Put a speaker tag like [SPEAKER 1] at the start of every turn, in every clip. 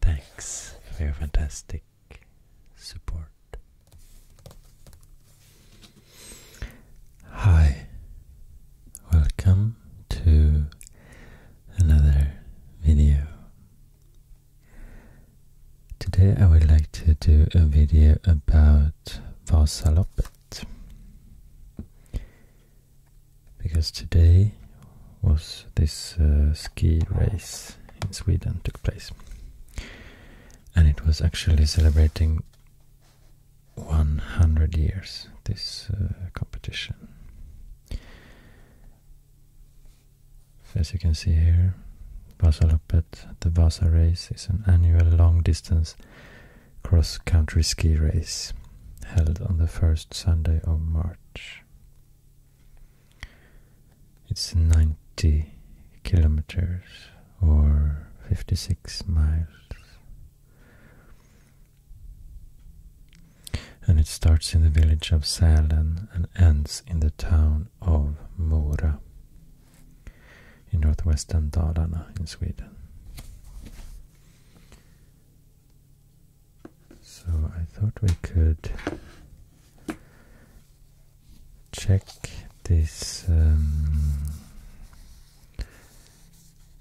[SPEAKER 1] Thanks for your fantastic support. Hi, welcome to another video. Today I would like to do a video about Vasaloppet because today was this uh, ski race in Sweden took place. And it was actually celebrating 100 years, this uh, competition. As you can see here, Vasaloppet, the Vasa race, is an annual long distance cross country ski race held on the first Sunday of March. It's 90 kilometers or 56 miles. And it starts in the village of Sälen and ends in the town of Mora in northwestern Dalarna in Sweden. So I thought we could check this um,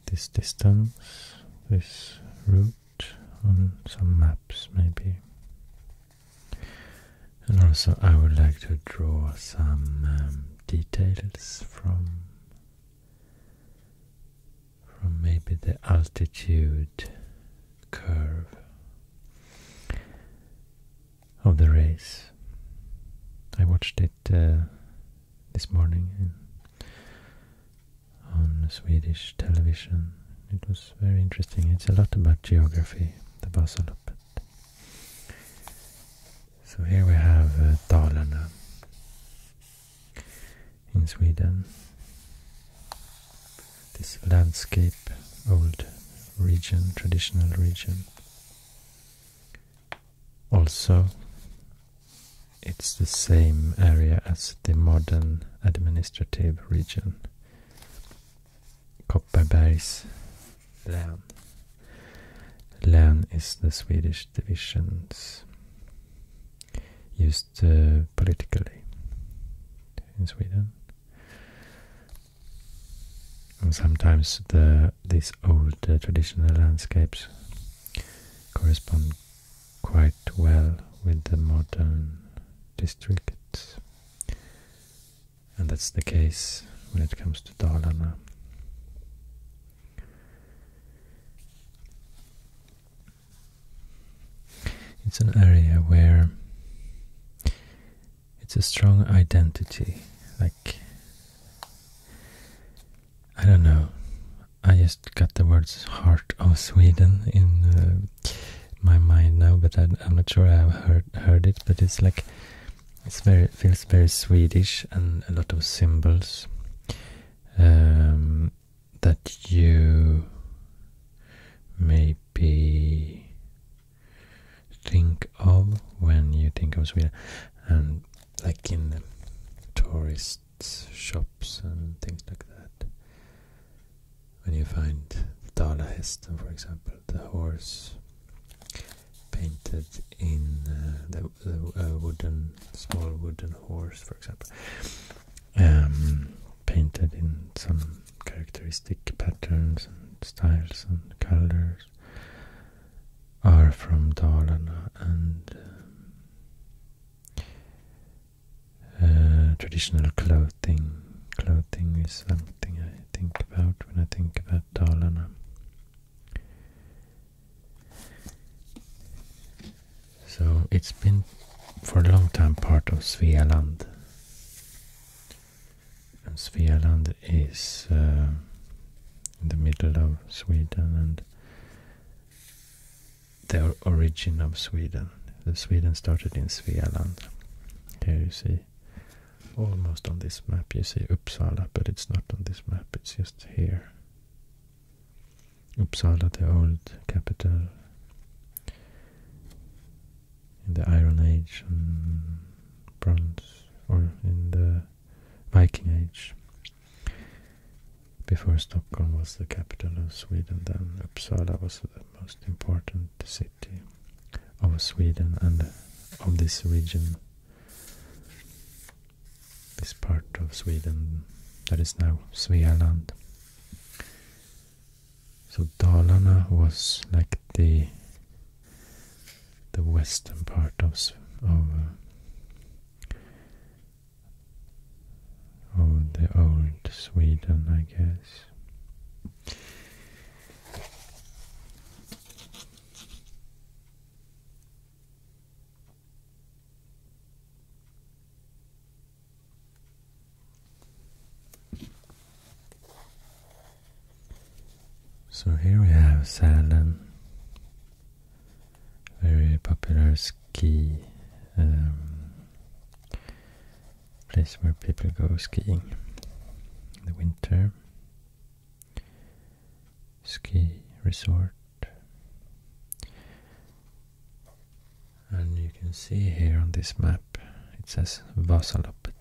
[SPEAKER 1] this distance, this route on some maps maybe. And also I would like to draw some um, details from from maybe the altitude curve of the race. I watched it uh, this morning on Swedish television. It was very interesting. It's a lot about geography, the Vasaloppet. So here we have uh, in Sweden this landscape, old region, traditional region. Also, it's the same area as the modern administrative region, Kopparbergs län. Län is the Swedish divisions used uh, politically in Sweden. And sometimes the these old uh, traditional landscapes correspond quite well with the modern districts, and that's the case when it comes to Dalarna. It's an area where it's a strong identity. Like, I don't know. I just got the words heart of Sweden in uh, my mind now, but I, am not sure I've heard, heard it. But it's like, it's very, it feels very Swedish and a lot of symbols um, that you may be think of when you think of Sweden and like in the tourist shops and things like that when you find Dalahästen for example the horse painted in uh, the, uh, wooden small wooden horse for example um, painted in some characteristic patterns and styles and colors are from Dalarna and um, uh, traditional clothing. Clothing is something I think about when I think about Dalarna. So it's been for a long time part of Svealand and is uh, in the middle of Sweden and the origin of Sweden. The Sweden started in Svealand. Here you see, almost on this map you see Uppsala, but it's not on this map, it's just here. Uppsala, the old capital, in the Iron Age and Bronze, or in the Viking Age. Before Stockholm was the capital of Sweden, then Uppsala was the most important city of Sweden and of this region, this part of Sweden that is now Svealand. So Dalarna was like the the western part of uh, of, the old Sweden, I guess. So here we have Sälen, very popular ski um, place where people go skiing in the winter. Ski resort. And you can see here on this map it says Vasalopet.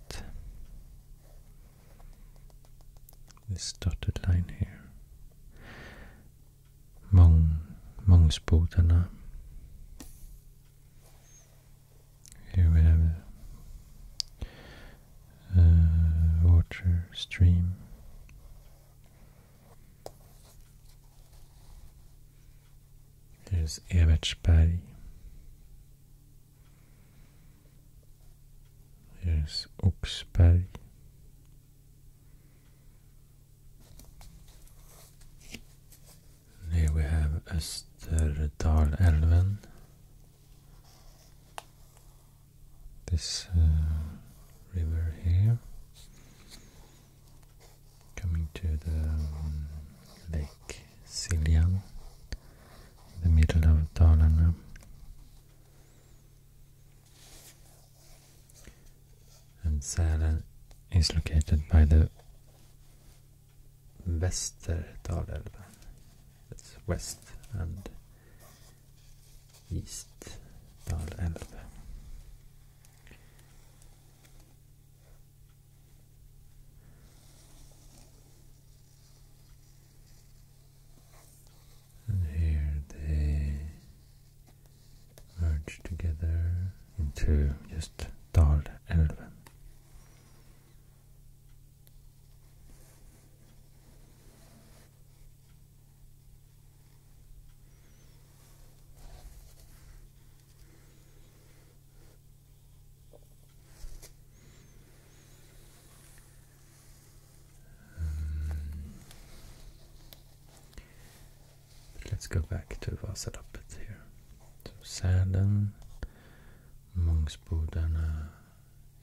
[SPEAKER 1] This dotted line here. Mong Mongsbodana. Here we have a water stream. There's Image Body. Here's Oxbody. Here we have Österdalälven. This uh, river here coming to the um, Lake Siljan, in the middle of Dalarna. And Sälen is located by the Västerdalälven. That's west and east Dalälven. And here they merge together into just Dal Elven. Um, let's go back to Vasalappet here. So Sälen, Mångsbodarna,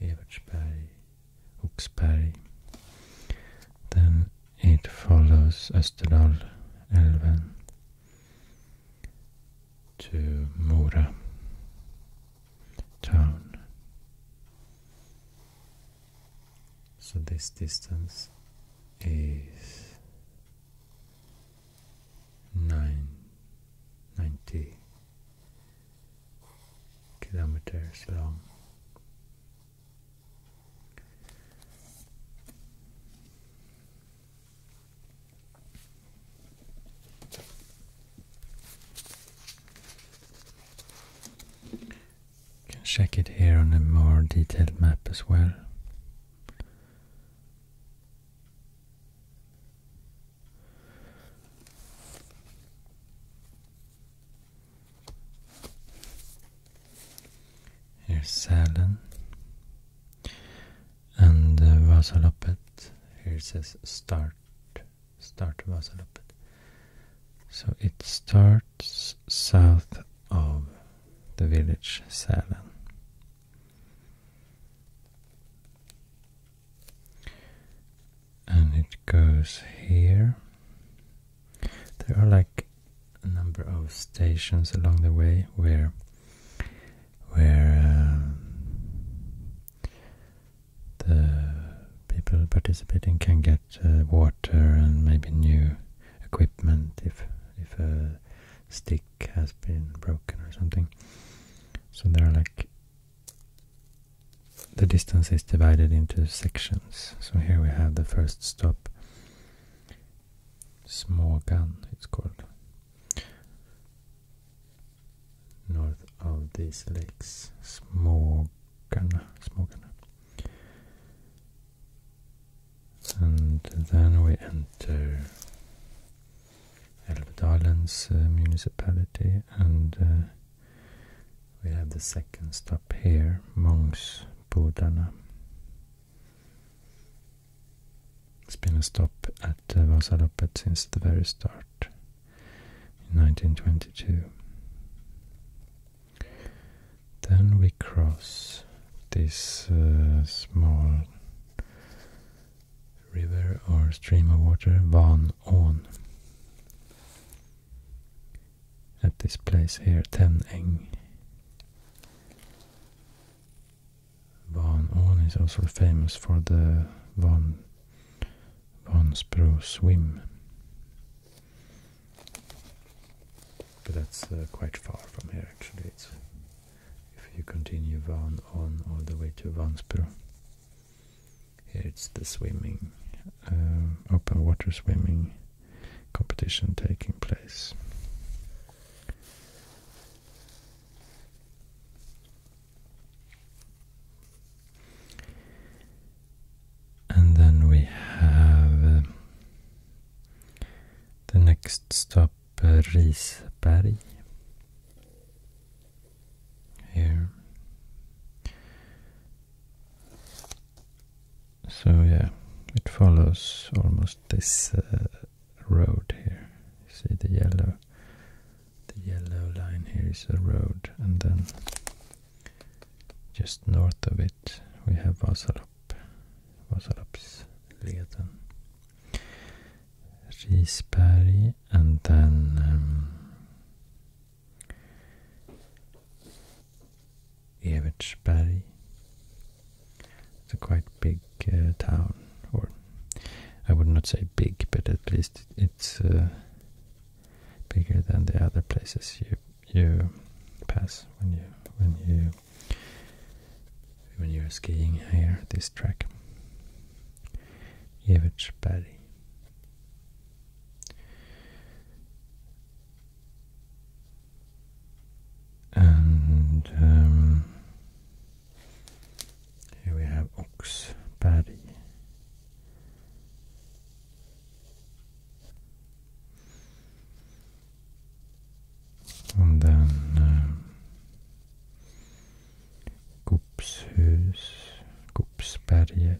[SPEAKER 1] Evertsberg, Oxberg. Then it follows Österdal, Elven, to Mura town. So this distance is nine ninety kilometers long. You can check it here on a more detailed map as well. Here's Sälen. And uh, Vasaloppet, here it says start, start Vasaloppet. So it starts south of the village Sälen. And it goes here. There are like a number of stations along the way where where um, the people participating can get uh, water and maybe new equipment if if a stick has been broken or something. So there are like the distance is divided into sections. So here we have the first stop Small gun, it's called. North of these lakes. small gun. And then we enter Älvdalens uh, municipality and uh, we have the second stop here, Monks Mångsbodarna. It's been a stop at uh, Vasaloppet since the very start in 1922. Then we cross this uh, small river or stream of water, Van On. At this place here, Ten Van Orn is also famous for the Van, Van Spro swim. But that's uh, quite far from here actually. if you continue Van Orn all the way to Van Spro. Here it's the swimming, uh, open water swimming competition taking place. And then we have uh, the next stop uh, Risberg here. So yeah, it follows almost this uh, road here. See the yellow, the yellow line here is a road, and then just north of it we have Vasalopp, Vasaloppsleden, Risberg, and then. Um, Evertsberg it's a quite big uh, town, or I would not say big, but at least it's uh, bigger than the other places you you pass when you when you when you're skiing here. This track, Jeversberg. And um, here we have ox paddy. And then um, Gopshus, Gopsberget.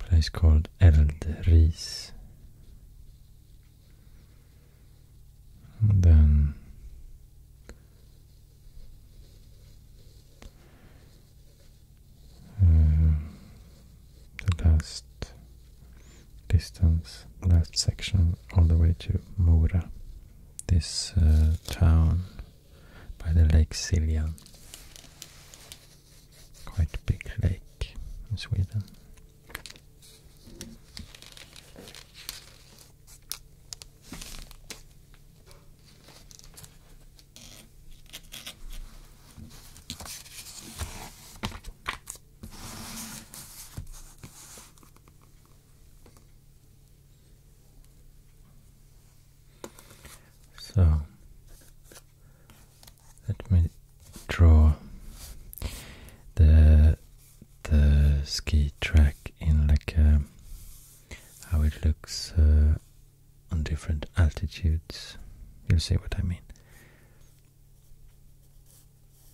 [SPEAKER 1] a place called Eldris. And then uh, the last distance, last section, all the way to Mora this uh, town by the Lake Siljan. Quite big lake in Sweden. So let me draw the the ski track in like uh, how it looks uh, on different altitudes. You'll see what I mean.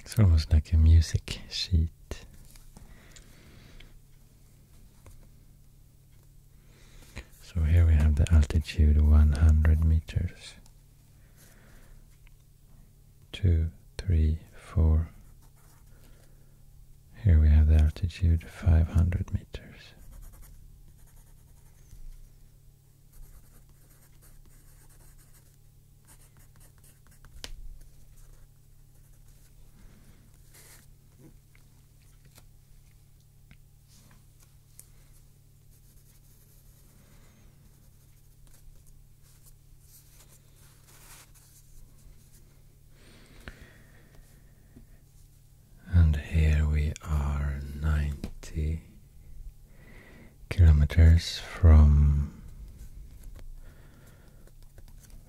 [SPEAKER 1] It's almost like a music sheet. So here we have the altitude 100 meters. Two, three, four. Here we have the altitude 500 meters. And here we are ninety kilometers from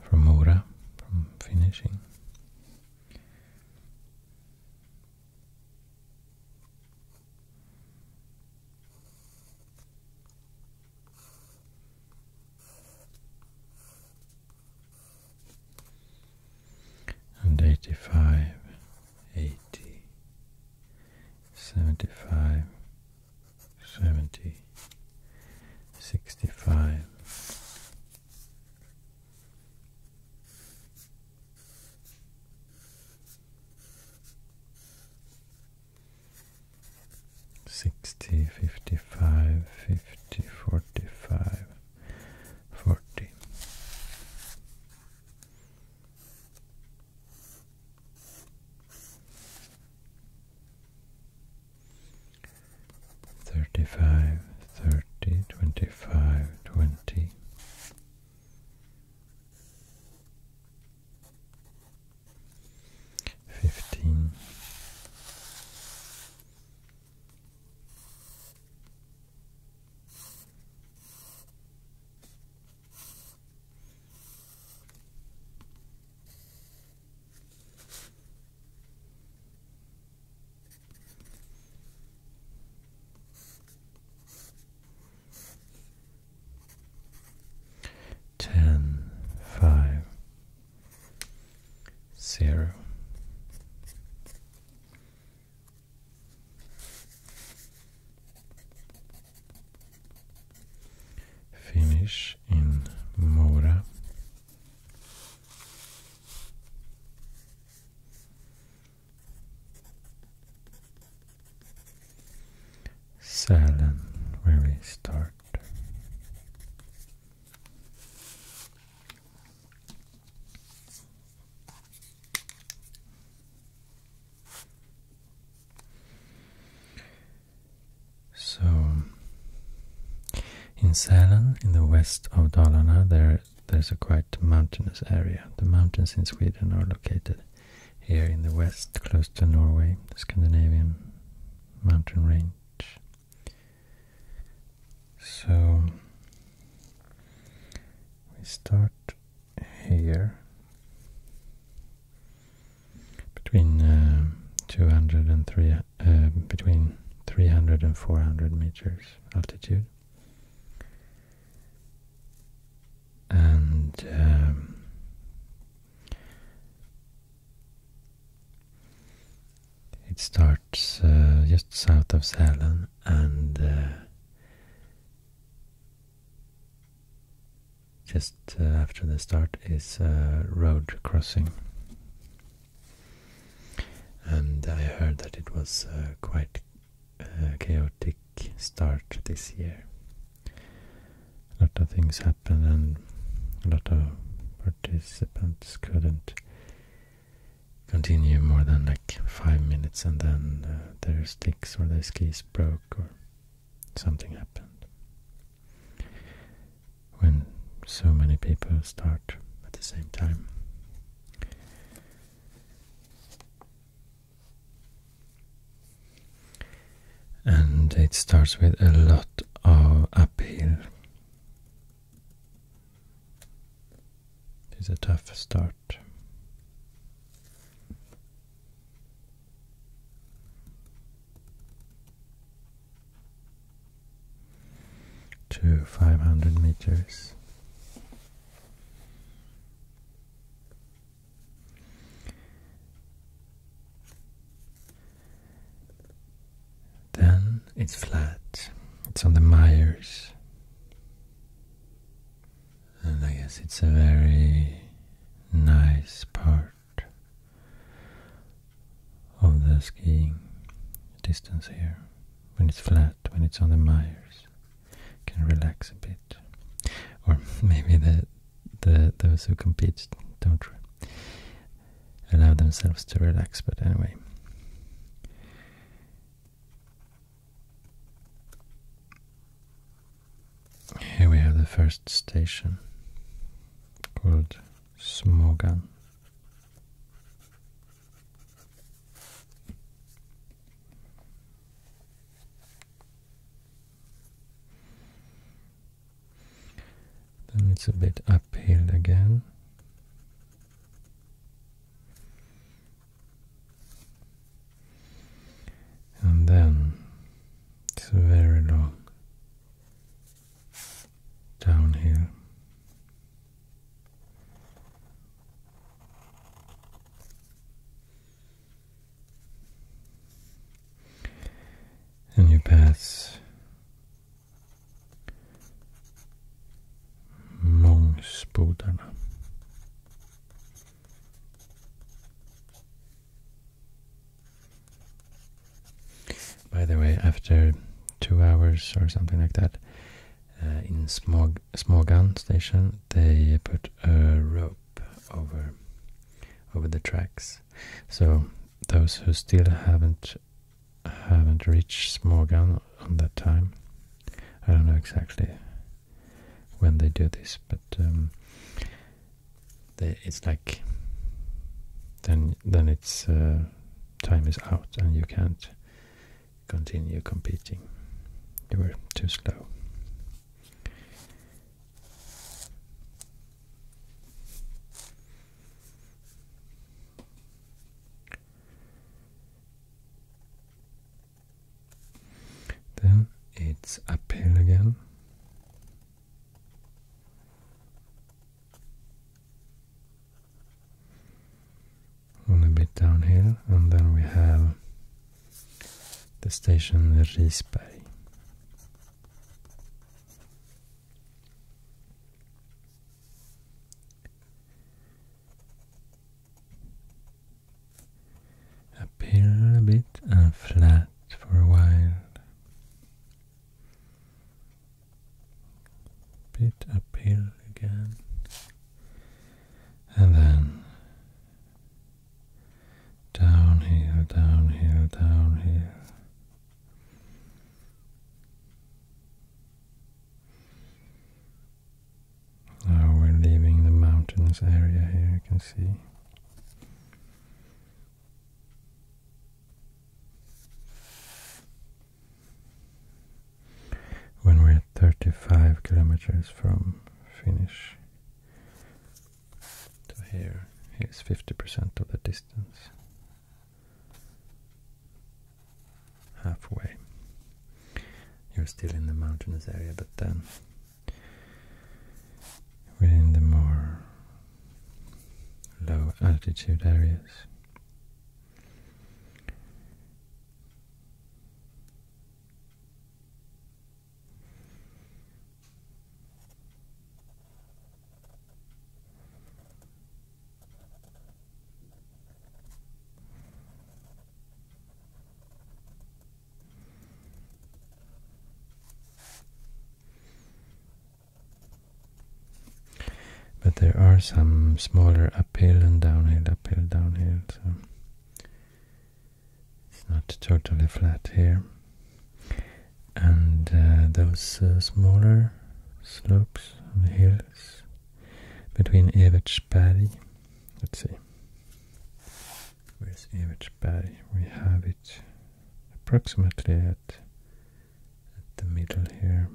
[SPEAKER 1] from Mora, from finishing. And eighty five eighty, seventy-five, seventy, sixty-five. 60, 55, 50, 45, 40 Thirty-five, thirty, twenty-five, twenty. Fifteen. Ten, five, zero, Finish in Mora. Salon, where we start. So, in Sälen, in the west of Dalarna, there there's a quite mountainous area. The mountains in Sweden are located here in the west, close to Norway, the Scandinavian mountain range. So, we start here between uh, uh between 300 and 400 meters altitude and um, it starts uh, just south of Zelen and uh, just uh, after the start is uh, road crossing. And I heard that it was uh, quite chaotic start this year. A lot of things happened and a lot of participants couldn't continue more than like five minutes and then uh, their sticks or their skis broke or something happened. When so many people start at the same time. And it starts with a lot of uphill. It's a tough start. To 500 meters. Then it's flat, it's on the mires and I guess it's a very nice part of the skiing distance here. When it's flat, when it's on the mires, you can relax a bit. Or maybe the, the those who compete don't allow themselves to relax, but anyway. Here we have the first station called Smogan. Then it's a bit uphill again. And then it's very long down here. And you pass Mångsbodarna. By the way, after two hours or something like that, uh, in Smog Smogan station, they put a rope over over the tracks. So those who still haven't haven't reached Smogan on that time, I don't know exactly when they do this, but um, it's like then then it's uh, time is out and you can't continue competing. You were too slow. Then it's uphill again. On a bit downhill, and then we have the station Risberg. Up here a bit and flat for a while. Bit uphill again. And then downhill, downhill, downhill. Now we're leaving the mountains area here, you can see. When we're at 35 kilometers from finish to here, here's 50% of the distance halfway you're still in the mountainous area, but then we're in the more low altitude areas. But there are some smaller uphill and downhill, uphill, downhill, so it's not totally flat here. And uh, those uh, smaller slopes and hills between Evert Paddy, Let's see. Where's Paddy? We have it approximately at, the middle here.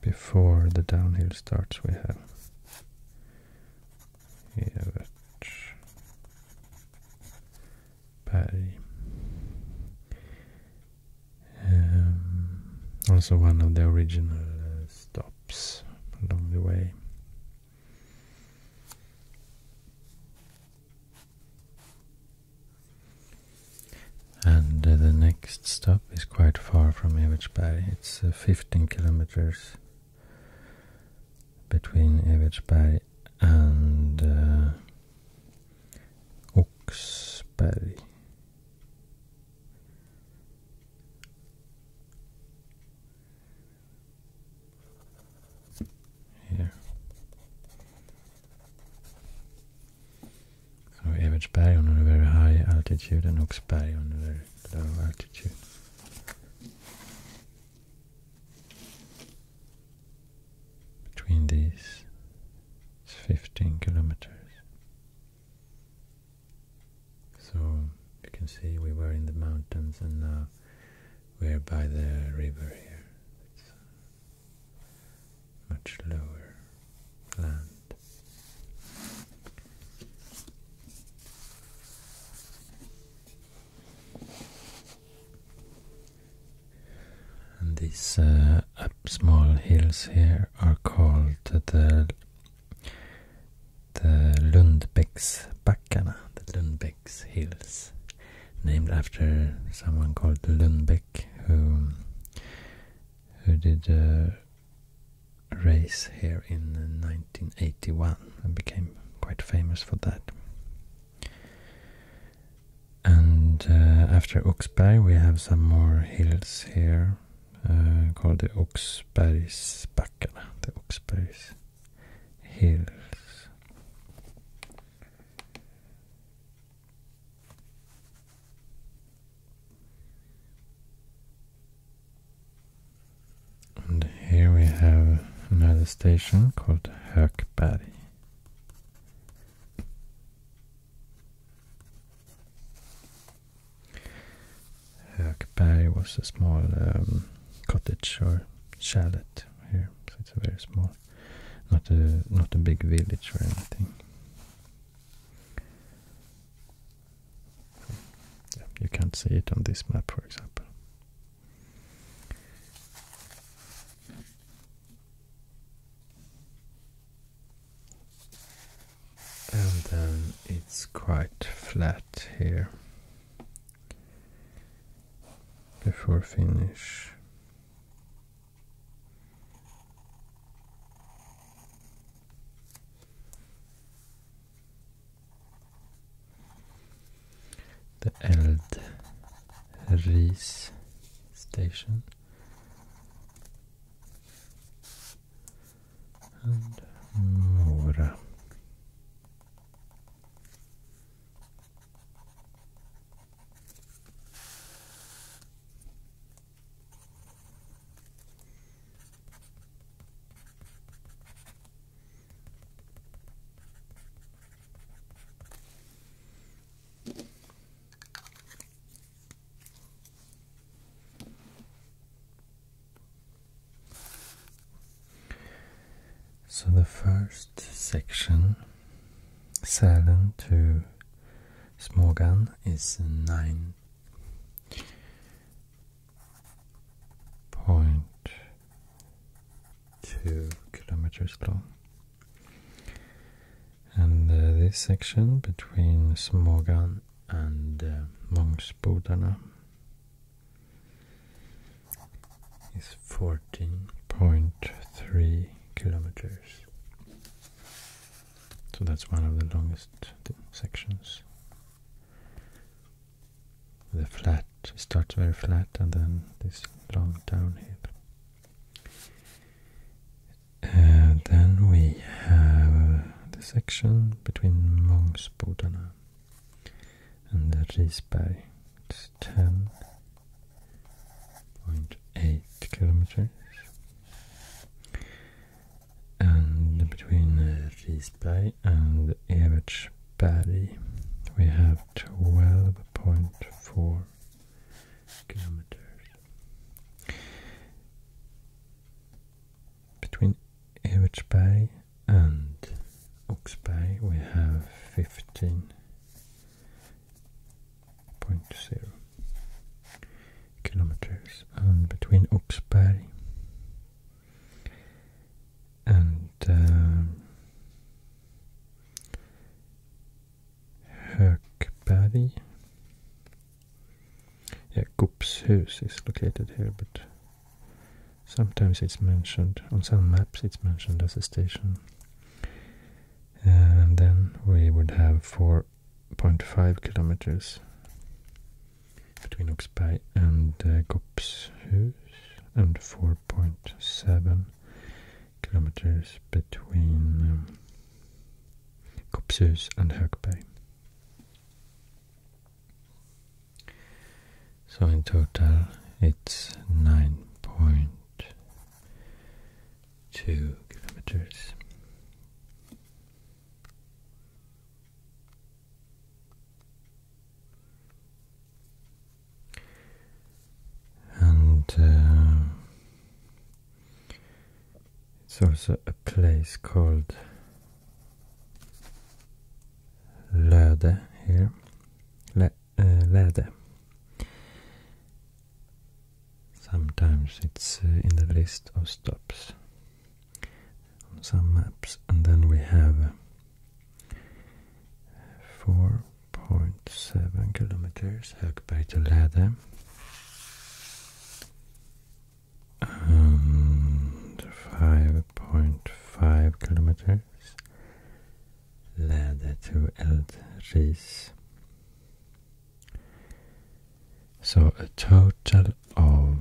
[SPEAKER 1] Before the downhill starts, we have Evertsberg. Um, also one of the original uh, stops along the way. And uh, the next stop is quite far from Evertsberg. It's uh, 15 kilometers between Evertsberg and uh, here. So Evertsberg on a very high altitude and Oxberg on a very low altitude. Between these it's 15 kilometers. So you can see we were in the mountains and now we're by the river here. It's uh, much lower land. And these uh, small hills here are called the the Lundbäcksbackarna, the Lundbäcks Hills, named after someone called Lundbeck, who who did a race here in 1981 and became quite famous for that. And uh, after Oxberg we have some more hills here called eh, the Oxbergsbackarna, the Oxbergs Hills. And here we have another station called Hökberg. Hökberg was a small um, cottage or chalet here, so it's a very small, not a not a big village or anything. you can't see it on this map, for example and then it's quite flat here before finish. The Eld Ries station and over. So the first section, Sälen to Smågan, is nine point two kilometers long, and uh, this section between Smågan and uh, monks Bodhana is 14.3 kilometers. So that's one of the longest sections. The flat starts very flat and then this long downhill. Uh, then we have the section between Mångsbodarna and the Risberg. 10.8 kilometers. And between uh, Risberg and Evertsberg we have 12.4 kilometers between Evertsberg and Oxby, we have 15.0 kilometers and between Oxby and um, yeah, Kopshus is located here, but sometimes it's mentioned, on some maps it's mentioned as a station. And then we would have 4.5 kilometers between Oxberg and uh, Kopshus and 4.7 kilometers between um, Kopshus and Högberg. So in total it's 9.2 kilometers. And uh, it's also a place called Löde here. Le, uh, Läde. Sometimes it's uh, in the list of stops on some maps, and then we have uh, 4.7 kilometers Högberg to Läde and 5.5 kilometers leder to Eldris. So a total of,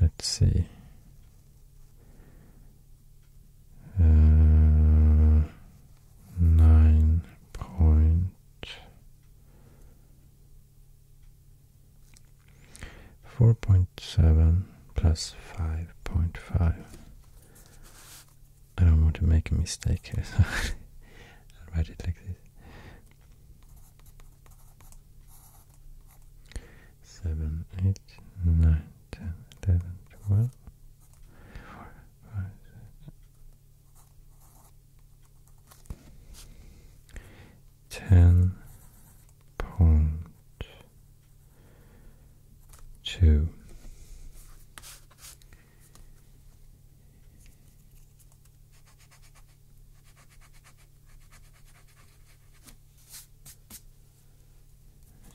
[SPEAKER 1] let's see, uh, nine point 4.7 plus 5.5. I don't want to make a mistake here, so I'll write it like this. 7, 8, 9, 10, 11, 12, ten point two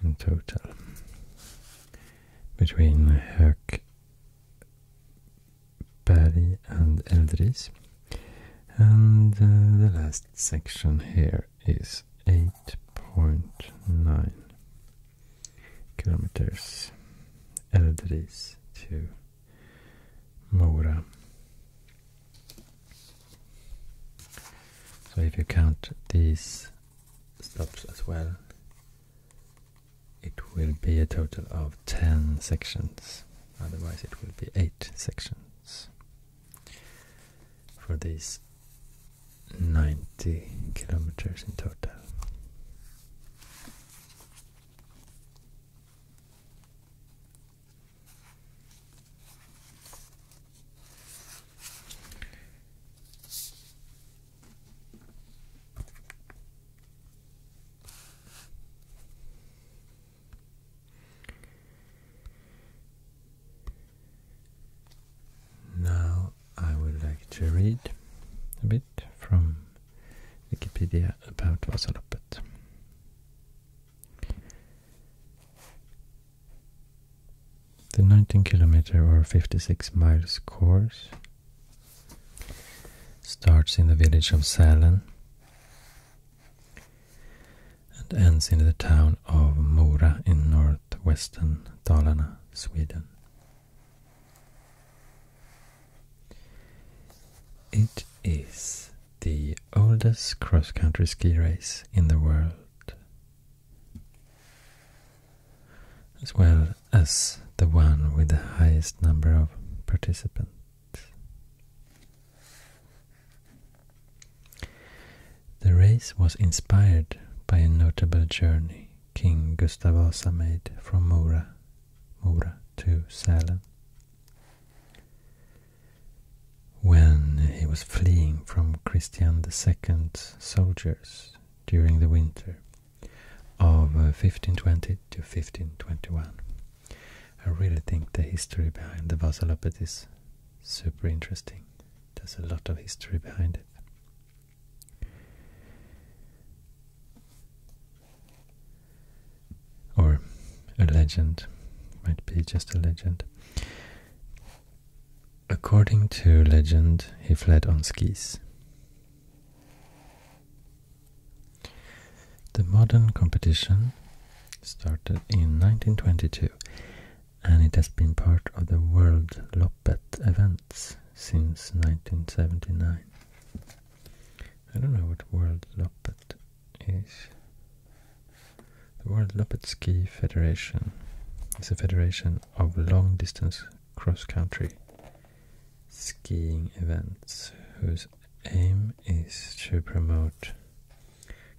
[SPEAKER 1] in total between the hook. Bari and Eldris. And uh, the last section here is 8.9 kilometers Eldris to Mora. So if you count these stops as well, it will be a total of 10 sections, otherwise it will be 8 sections for these 90 kilometers in total. Now I would like to read a bit from Wikipedia about Vasaloppet. The 19 kilometer or 56 miles course Starts in the village of Sälen and ends in the town of Mora in northwestern Dalarna, Sweden. It is the oldest cross-country ski race in the world as well as the one with the highest number of participants. The race was inspired by a notable journey King Gustavus Vasa made from Mora, Mora to Salem. When he was fleeing from Christian II's soldiers during the winter of 1520 uh, to 1521. I really think the history behind the Vasalopet is super interesting. There's a lot of history behind it. Or a legend, might be just a legend. According to legend, he fled on skis the modern competition started in 1922 and it has been part of the World Loppet events since 1979. I don't know what World Loppet is. The World Loppet Ski Federation is a federation of long distance cross country skiing events whose aim is to promote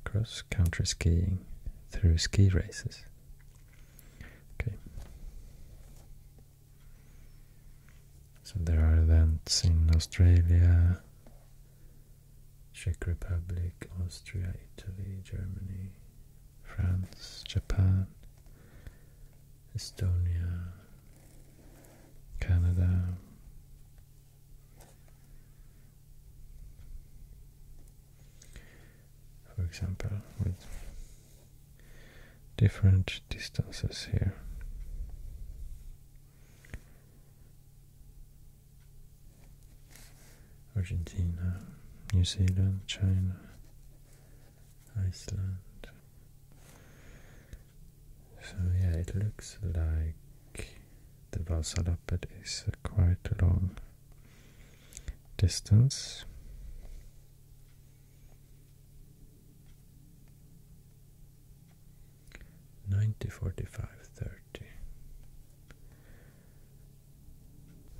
[SPEAKER 1] cross-country skiing through ski races. Okay. So there are events in Australia, Czech Republic, Austria, Italy, Germany, France, Japan, Estonia, Canada. For example, with different distances here. Argentina, New Zealand, China, Iceland, so yeah, it looks like the Vasalappet is a quite a long distance. Ninety forty five thirty.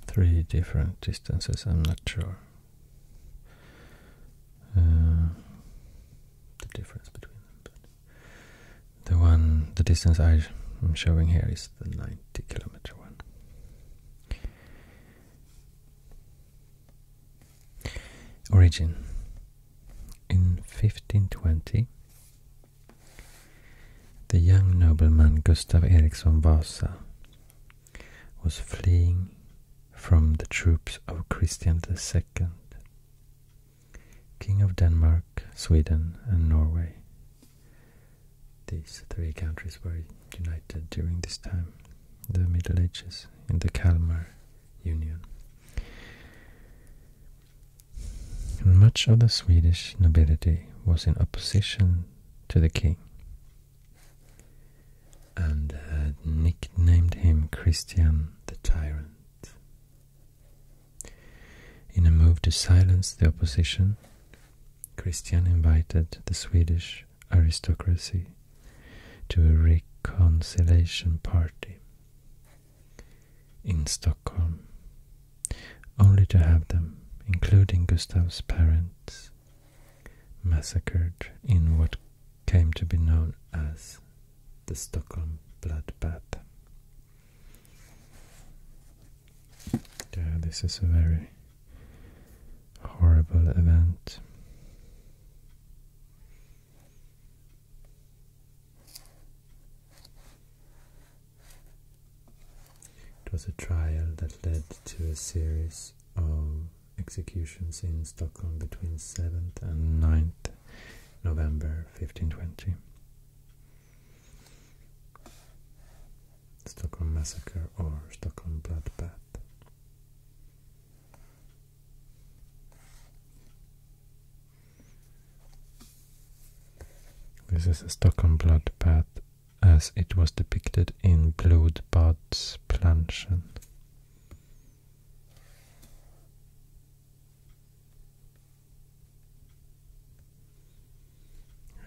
[SPEAKER 1] Three different distances, I'm not sure uh, the difference between them. But the one, the distance I'm showing here is the 90 kilometer one. Origin. In 1520, the young nobleman Gustav Eriksson Vasa was fleeing from the troops of Christian II, King of Denmark, Sweden, and Norway. These three countries were united during this time, the Middle Ages, in the Kalmar Union. And much of the Swedish nobility was in opposition to the king and had uh, nicknamed him Christian the Tyrant. In a move to silence the opposition, Christian invited the Swedish aristocracy to a reconciliation party in Stockholm, only to have them, including Gustav's parents, massacred in what came to be known as the Stockholm Bloodbath. Yeah, this is a very horrible event. It was a trial that led to a series of executions in Stockholm between 7th and 9th November 1520. Stockholm Massacre or Stockholm Bloodbath. This is a Stockholm bloodbath as it was depicted in Blood Bad Planschen.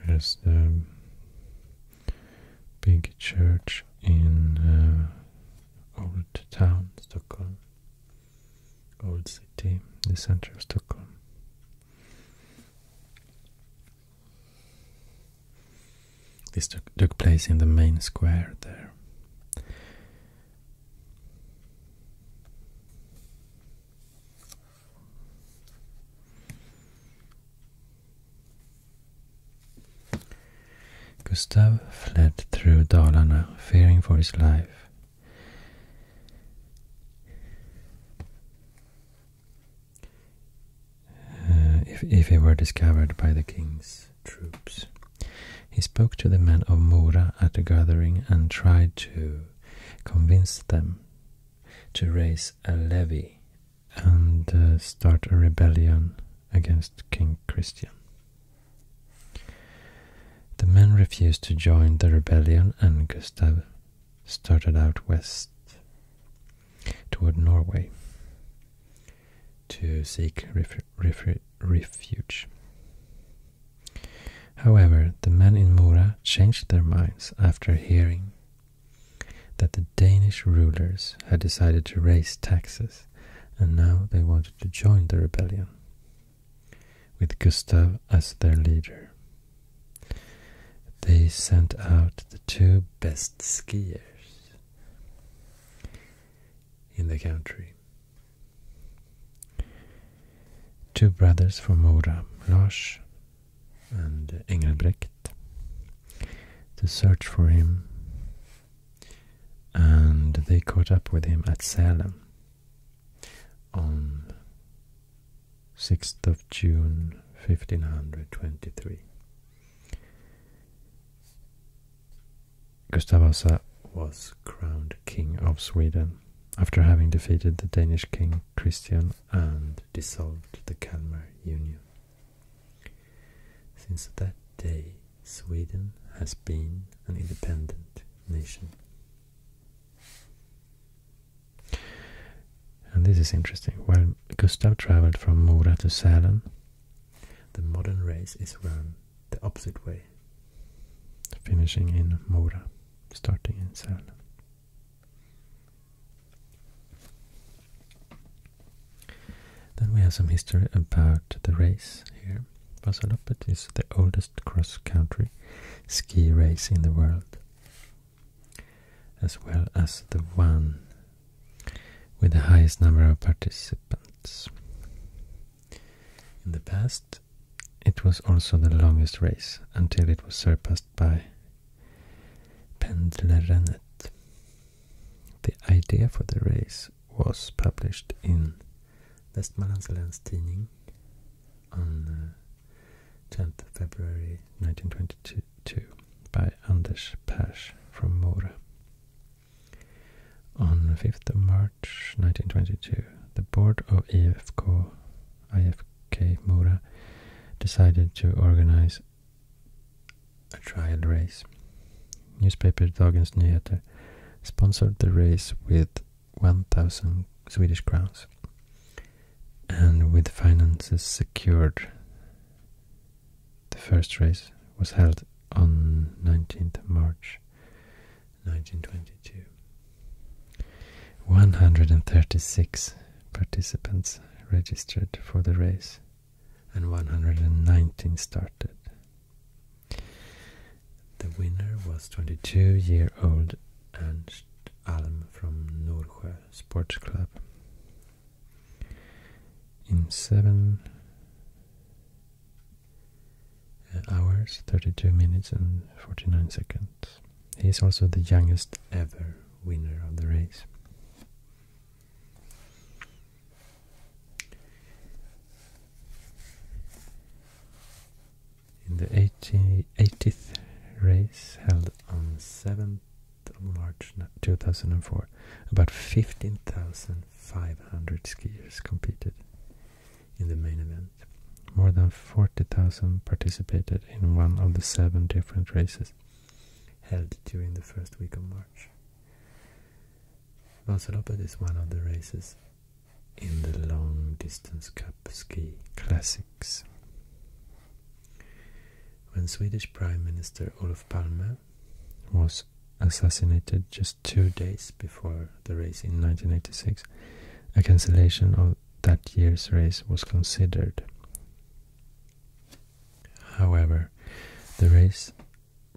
[SPEAKER 1] There's the big church in uh, old town Stockholm, old city, the center of Stockholm. This took, place in the main square there. Gustav fled through Dalarna, fearing for his life. Uh, if, if he were discovered by the king's troops. He spoke to the men of Mora at a gathering and tried to convince them to raise a levy and uh, start a rebellion against King Christian. The men refused to join the rebellion and Gustav started out west toward Norway to seek refuge. However, the men in Mora changed their minds after hearing that the Danish rulers had decided to raise taxes and now they wanted to join the rebellion with Gustav as their leader. They sent out the two best skiers in the country. Two brothers from Mora, Lars and Engelbrecht, to search for him, and they caught up with him at Salem on 6th of June 1523. Gustavus Vasa was crowned King of Sweden after having defeated the Danish King Christian and dissolved the Kalmar Union. Since that day, Sweden has been an independent nation. And this is interesting. While Gustav traveled from Mora to Salem, the modern race is run the opposite way, finishing in Mora, starting in Sälen. Then we have some history about the race here. Vasaloppet is the oldest cross-country ski race in the world, as well as the one with the highest number of participants. In the past, it was also the longest race until it was surpassed by Pendlerennet. The idea for the race was published in Vestmanlands Läns Tidning on uh, 10th February 1922. 2 by Anders Pasch from Mora. On 5th of March 1922, the board of EFK, IFK Mora decided to organize a triad race. Newspaper Dagens Nyheter sponsored the race with 1,000 Swedish crowns and with finances secured the first race was held on 19th March 1922. 136 participants registered for the race and 119 started. The winner was 22-year-old Ernst Alm from Norsjö Sports Club in 7 hours, 32 minutes and 49 seconds. He is also the youngest ever winner of the race. In the 80, 80th race held on 7th March 2004, about 15,500 skiers competed in the main event. More than 40,000 participated in one of the seven different races held during the first week of March. Vasaloppet is one of the races in the long distance cup ski classics. When Swedish Prime Minister Olaf Palme was assassinated just two days before the race in 1986. A cancellation of that year's race was considered. However, the race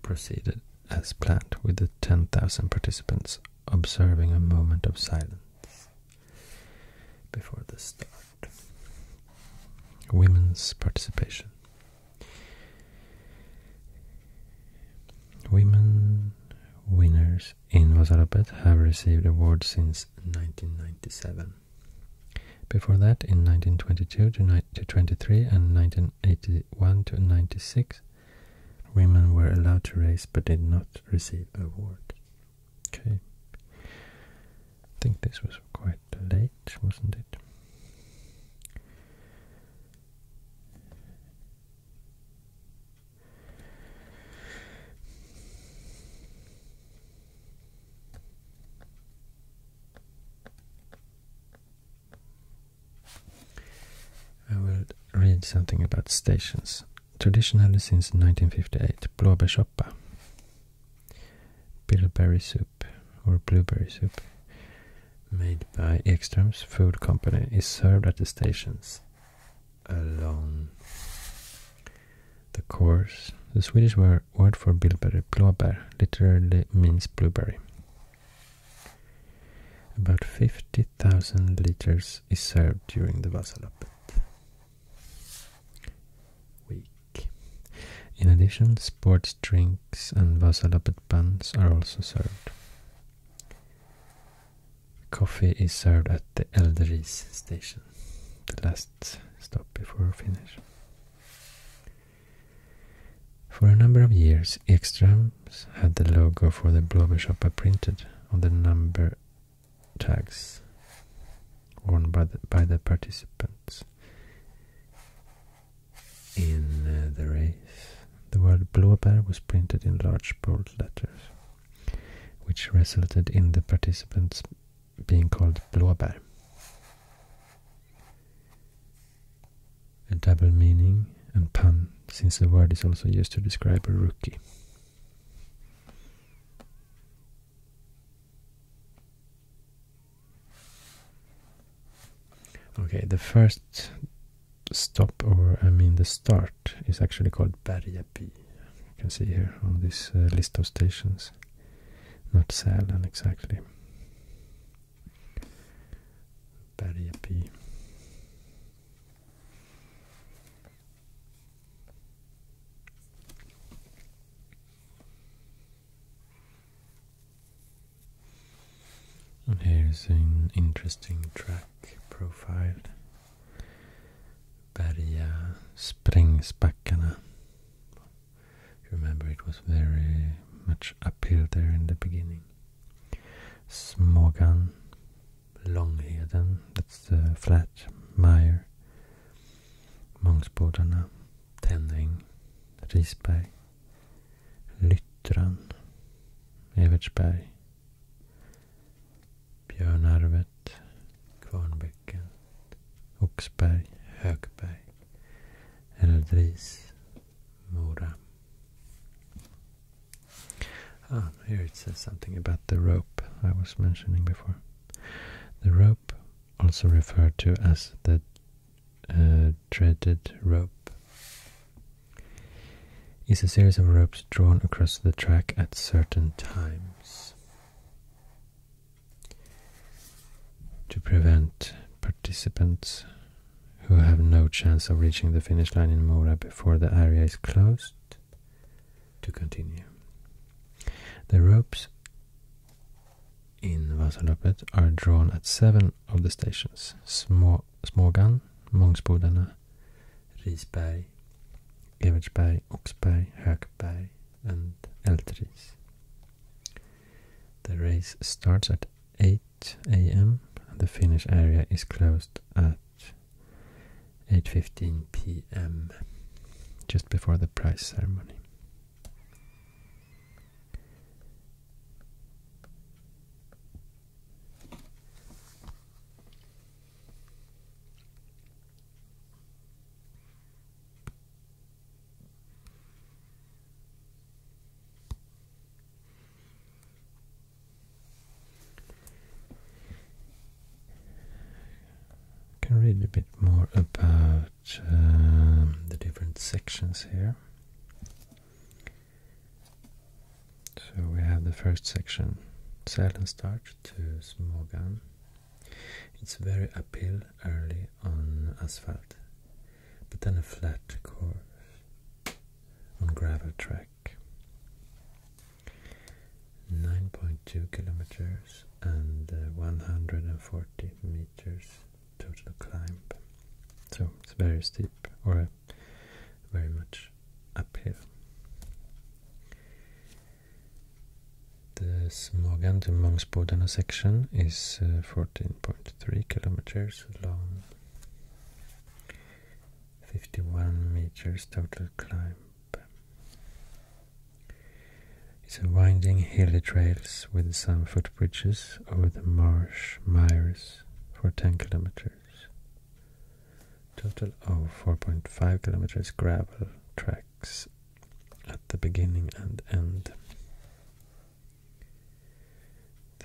[SPEAKER 1] proceeded as planned with the 10,000 participants observing a moment of silence before the start. Women's participation. Women winners in Vasarapet have received awards since 1997. Before that, in 1922 to, 23 and 1981 to 96, women were allowed to race but did not receive award. I think this was quite late, wasn't it? I will read something about stations. Traditionally since 1958, Blåbärssoppa, bilberry soup, or blueberry soup made by Ekström's food company is served at the stations along the course. The Swedish word for blueberry, blåbär, literally means blueberry. About 50,000 liters is served during the Vasaloppet week. In addition, sports drinks and Vasaloppet pants are also served. Coffee is served at the Eldris station, the last stop before finish. For a number of years, Ekstrams had the logo for the Blåbärssoppa printed on the number tags worn by the, by the participants in uh, the race. The word blåbär was printed in large bold letters, which resulted in the participants being called blåbär. A double meaning and pun, since the word is also used to describe a rookie. Okay, the first stop, or I mean the start, is actually called Bergeby. You can see here on this uh, list of stations, not Sälen exactly. Bergeby. And here's an interesting track profile. springs Berga you Remember it was very much uphill there in the beginning. Smogan, Långheden, that's the flat mire. Mångsbodarna, Tänning, Risberg, Lyttran, Evertsberg, Björnarvet, Kvarnbäcken, Oxberg, Högberg, Eldris, Mora. Ah, here it says something about the rope I was mentioning before. The rope also referred to as the dreaded uh, rope, is a series of ropes drawn across the track at certain times to prevent participants who have no chance of reaching the finish line in Mora before the area is closed to continue. The ropes in Vasaloppet are drawn at seven of the stations Små, Smågan, Mångsbodarna, Risberg, Evertsberg, Oxberg, Hökberg and Eltris. The race starts at 8 am and the finish area is closed at 8.15 pm, just before the prize ceremony. Can read a bit more about um, the different sections here. So we have the first section, and Sälenstart to Smågan. It's very uphill early on asphalt, but then a flat course on gravel track. 9.2 kilometers and uh, 140 meters meters total climb. So it's very steep or very much uphill. The Smogan to Mångsbodana section is 14.3 uh, kilometers long, 51 meters total climb. It's a winding hilly trails with some footbridges over the marsh mires for 10 kilometers. Total of 4.5 kilometers gravel tracks at the beginning and end.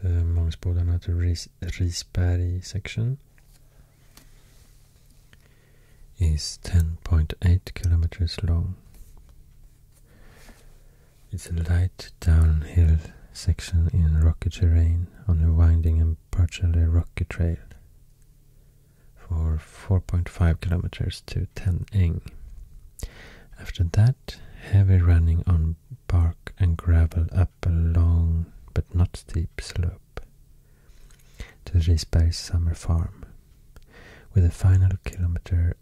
[SPEAKER 1] The Mångsbodarna to Ris Risberg section is 10.8 kilometers long. It's a light downhill section in rocky terrain on a winding and partially rocky trail for 4.5 kilometers to 10 eng. After that, heavy running on bark and gravel up a long but not steep slope to Risberg's summer farm with the final kilometer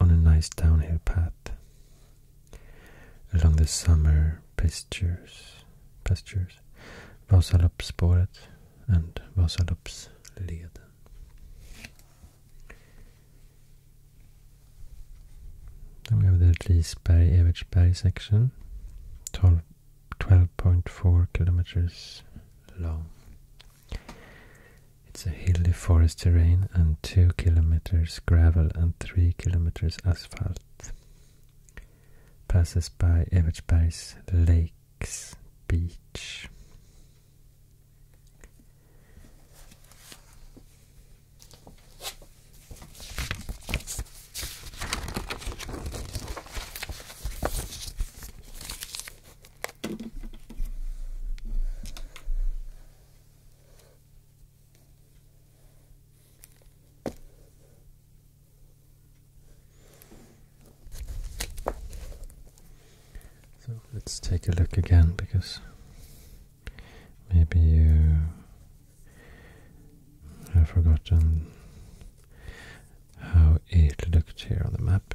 [SPEAKER 1] on a nice downhill path along the summer pastures, pastures Vasaloppsspåret and Vasaloppsleden. Then we have the average evertsberg section, 12.4 kilometers long. It's a hilly forest terrain and 2 kilometers gravel and 3 kilometers asphalt. Passes by Evertsbergs Lakes Beach. So let's take a look again because maybe you have forgotten how it looked here on the map.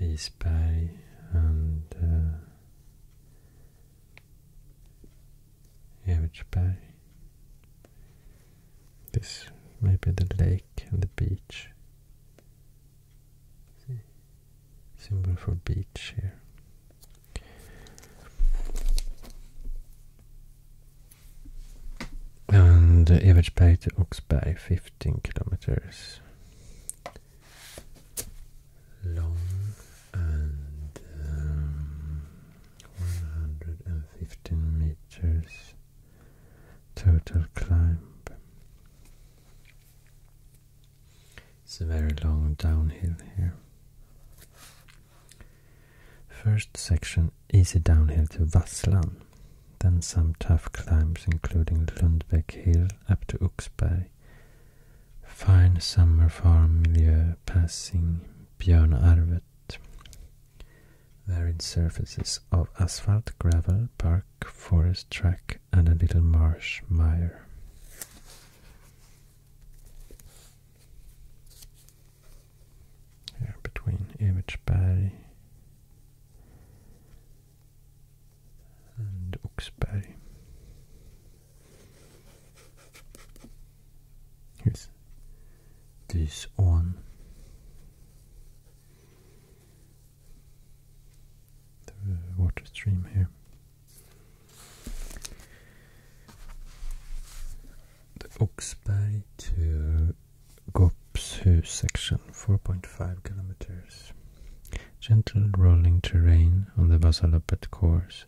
[SPEAKER 1] Risberg and uh, Evertsberg. This maybe the lake and the beach. Symbol for beach here and average Evertsberg to by 15 kilometers long and um, 115 meters total climb. It's a very long downhill here. First section easy downhill to Vasslan, then some tough climbs including Lundbeck Hill up to Uxberg. Fine summer farm milieu passing Björnarvet. Varied surfaces of asphalt, gravel, park, forest track and a little marsh mire. Here between bay and Oxberg. Here's this one. The water stream here. The Oxberg to Gopshus section, 4.5 kilometers. Gentle rolling terrain on the Vasaloppet course,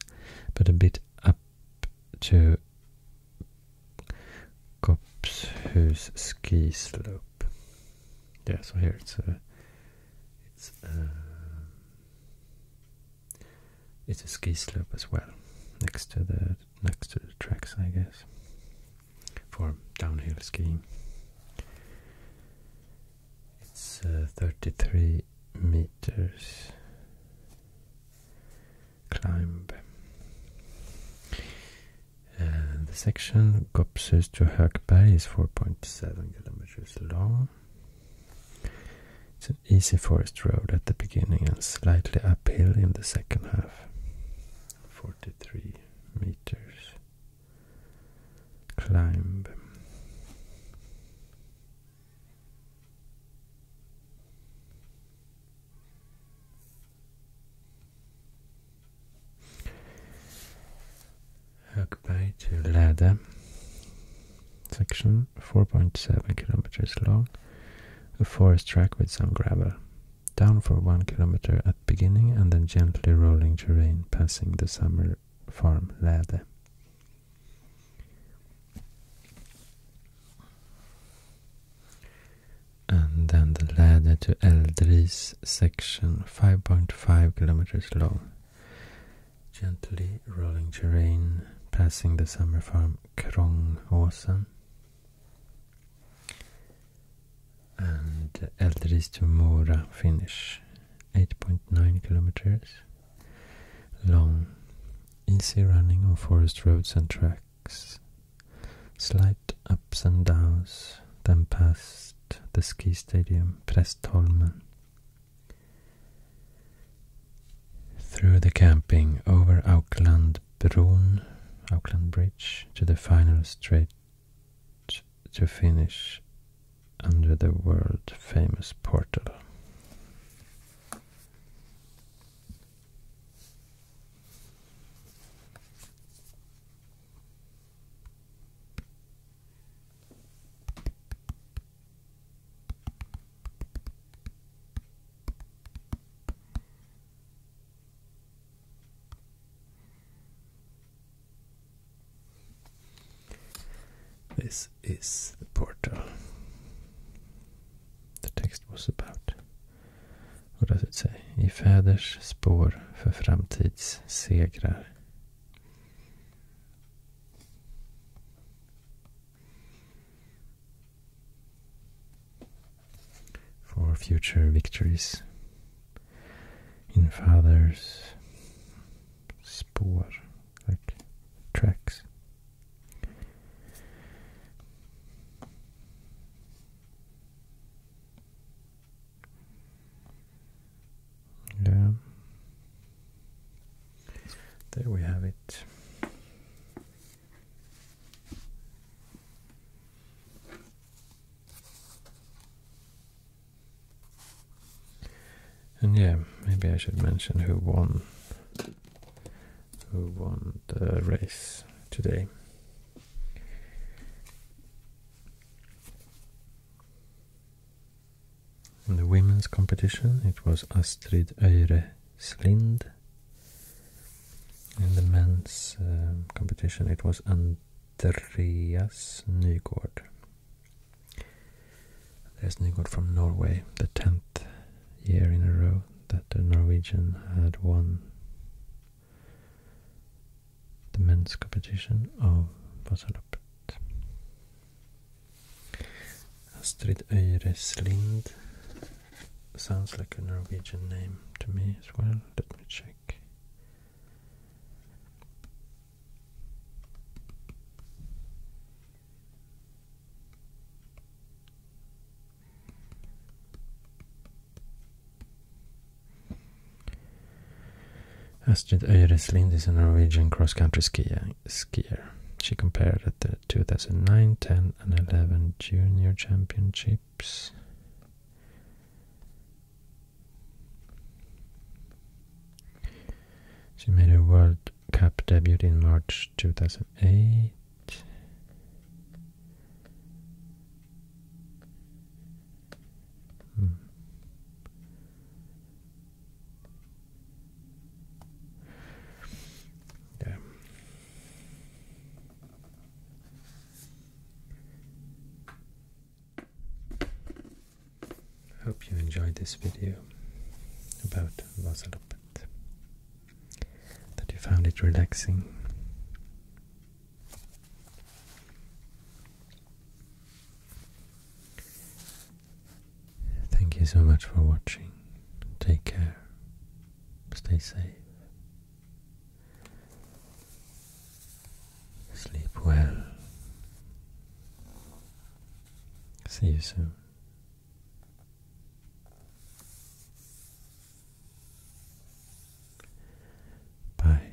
[SPEAKER 1] but a bit up to Gopshus ski slope. Yeah, so here it's a, it's it's a ski slope as well, next to the next to the tracks, I guess, for downhill skiing. It's uh, 33 meters climb. the section Gopsus to Hökberg is 4.7 kilometers long. It's an easy forest road at the beginning and slightly uphill in the second half. 43 meters. Climb. Högberg two Läde section, 4.7 kilometers long, a forest track with some gravel. Down for one kilometer at beginning and then gently rolling terrain passing the summer farm Ladder, And then the ladder to Eldris section, 5.5 kilometers long, gently rolling terrain passing the summer farm Krångåsen and Elderis to Mora finish 8.9 kilometers long easy running on forest roads and tracks slight ups and downs then past the ski stadium Prestholmen through the camping over Auklandbron, Auckland Bridge, to the final straight to finish under the world famous portal. This is the portal. The text was about. What does it say? I fäders spår för framtids segrar. for future victories in father's spår, like tracks. Yeah. There we have it. And yeah, maybe I should mention who won who won the race today. In the women's competition, it was Astrid Eire Slind. In the men's um, competition, it was Andreas Nygård. Andreas Nygård from Norway, the 10th year in a row that the Norwegian had won the men's competition of Vasaloppet. Astrid Øyreslind sounds like a Norwegian name to me as well. Let me check. Astrid Øyreslind is a Norwegian cross-country skier skier. She competed at the 2009, 10, and 11 junior championships. She made her World Cup debut in March 2008. Hmm. Yeah. Hope you enjoyed this video about Vasalopet. That you found it relaxing. Thank you so much for watching. Take care. Stay safe. Sleep well. See you soon. Bye.